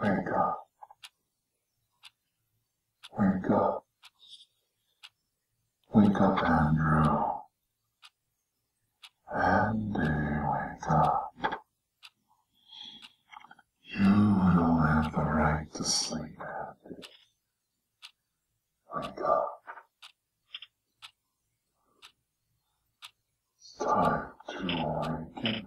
Where you go? Wake up. Wake up, Andrew. Andy, wake up. You don't have the right to sleep, Andy. Wake up. It's time to awaken, Andy.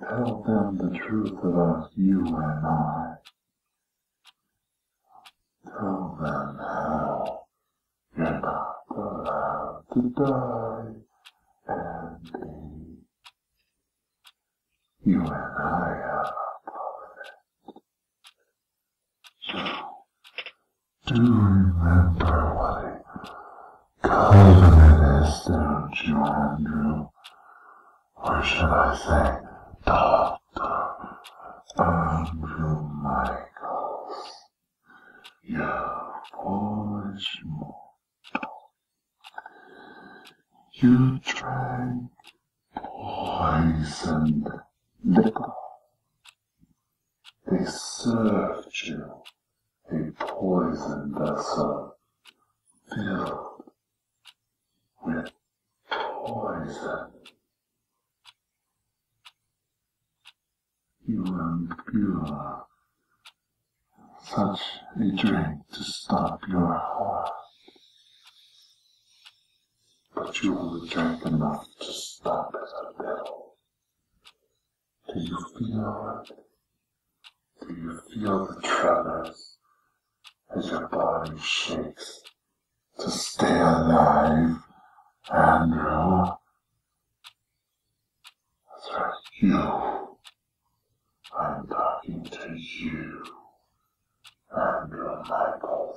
Tell them the truth about you and I. Tell them how you're not allowed to die and be. You and I have a covenant. do remember what a covenant is, don't you, Andrew? or should I say, Dr. Andrew Michaels, you foolish mortal. You drank poisoned liquor. They served you a poison vessel filled with poison. You impure such a drink to stop your heart. But you only drink enough to stop it a little. Do you feel it? Do you feel the tremors as your body shakes to stay alive, Andrew? That's right, you. I'm talking to you, Andrew Michael.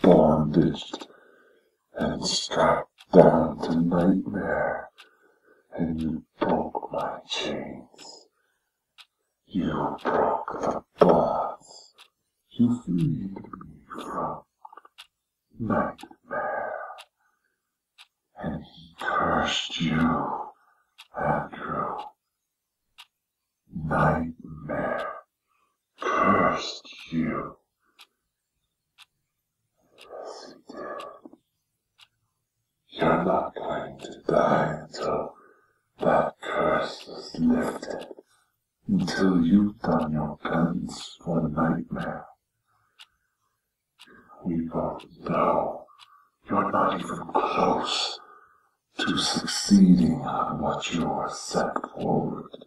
Bondage and strapped down to nightmare, and you broke my chains. You broke the bonds. You freed me from nightmare. And he cursed you, Andrew. Nightmare cursed you. Yes, You're not going to die until that curse is lifted. Until you've done your penance for the nightmare. We both know you're not even close to succeeding at what you are set forward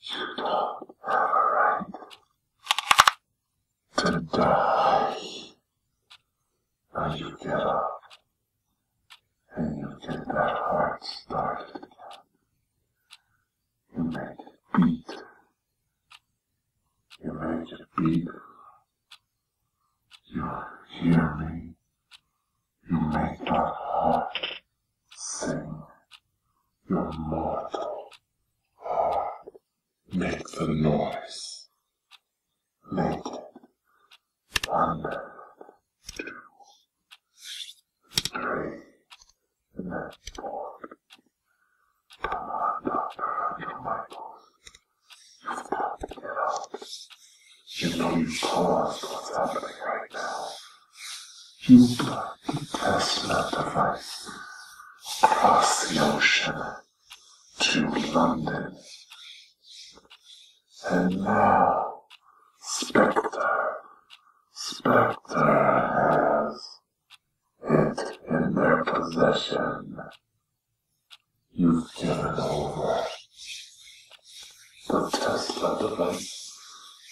you don't have a right to die. And you get up and you get that heart started again. You make it beat. You make it beat. You are me? You make my heart sing. Your mortal heart. Make the noise. Make it. One, two, three, and four. Come on, You've got to get up. You know you caused what's happening right now. You bloody Tesla device. across the ocean to London. And now, Spectre, Spectre has it in their possession. You've given over the Tesla device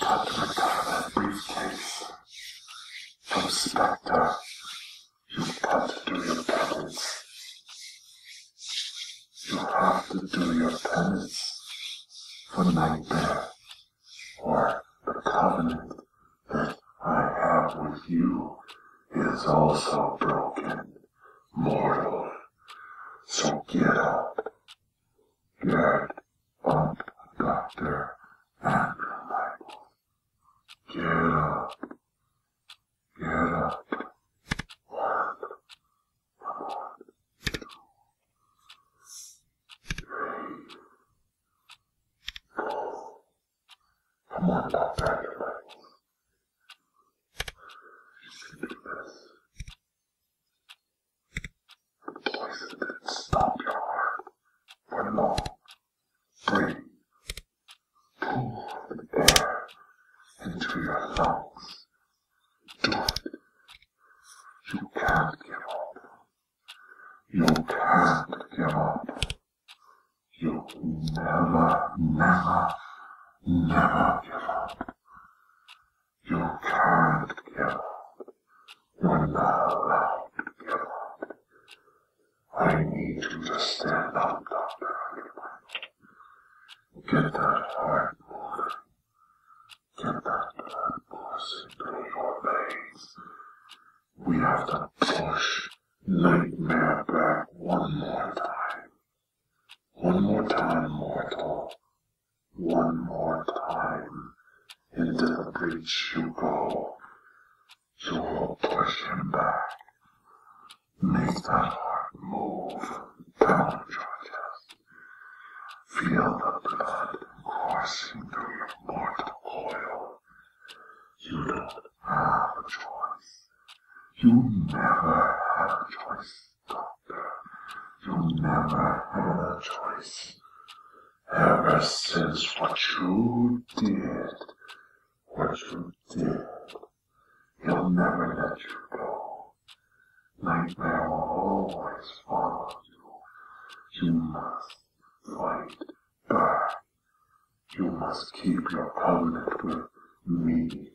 Pat recovered that briefcase. Don't stop there. You've got to do your penance. You have to do your penance for nightmare or the covenant that I have with you is also broken, mortal. So get up. Get up, Dr. Andrew Get up. Get up. One, one, two, three, four. Come on, Dr. Andrew You can do this. Places that stop your heart for long. Bring pool of air into your lungs. Do it. You can't give up. You can't give up. You never, never, never give up. You can't get it. You're not allowed to get I need you to stand up, Dr. Eggman. Get that heart moving. Get that blood coursing We have to push Nightmare back one more time. One more time, mortal. One more time. Into the breach you go. You will push him back. Make that heart move. Pound your chest. Feel the blood coursing through your mortal coil. You don't have a choice. You never have a choice. Doctor, You never had a choice. Ever since what you did, what you did, he'll never let you go. Nightmare will always follow you. You must fight back. You must keep your promise with me.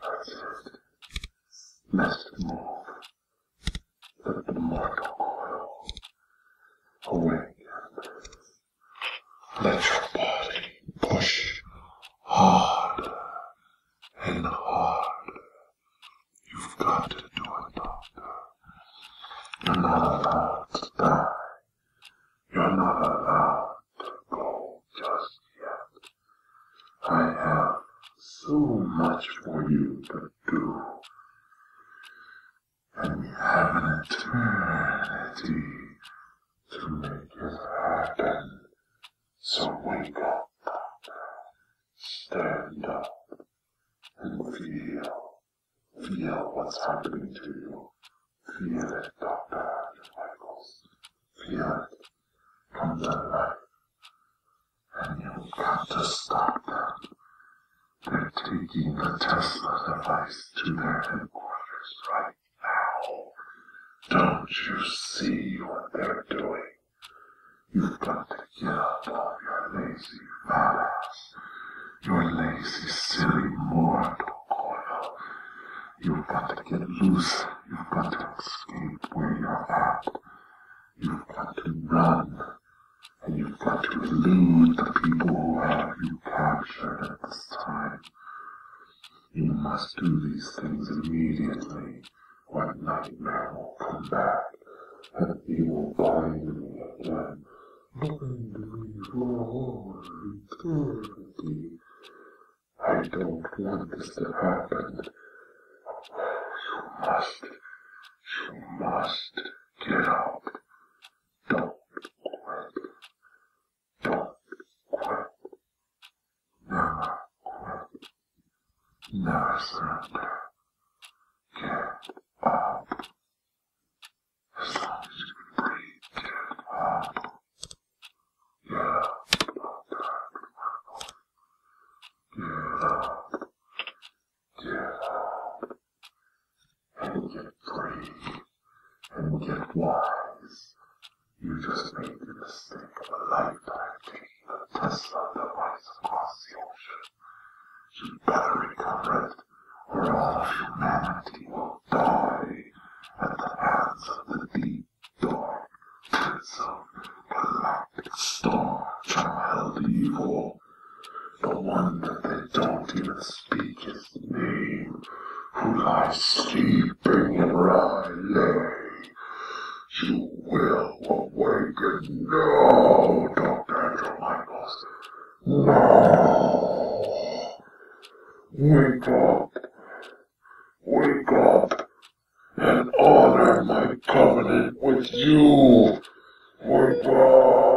Persist must move the immortal coil. Awaken. Let your body push harder and harder. You've got to do it, Doctor. You're not allowed to die. You're not allowed to go just yet. I have so much for you to do. And we have an eternity to make it happen. So wake up, stand up, and feel. Feel what's happening to you. Feel it, Dr. Michaels. Feel it. Come to and you've got to stop them. They're taking the Tesla device to their headquarters right now. Don't you see what they're doing? You've got to get up off your lazy fat ass, your lazy silly mortal coil, You've got to get loose. You've got to escape where you're at. You've got to run. And you've got to elude the people who have you captured at this time. You must do these things immediately, or nightmare will come back, and you will find me again, I don't want this to happen. You must, you must get out. Don't quit. Don't quit. Never quit. Never surrender. Get up. As long as you can breathe, get up and get free and get wise. You just made the mistake of a lifetime taking the Tesla device across the ocean. You better recover it, or all humanity will die at the hands of the deep the darkness of galactic star child evil. The one that they don't even speak his name, who lies sleeping in Raleigh. You will awaken now, Dr. Angel Michaels. Now! Wake up! Wake up and honor my covenant with you. Wake up.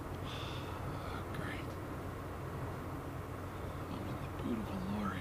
Great. I'm in the boot of a lorry.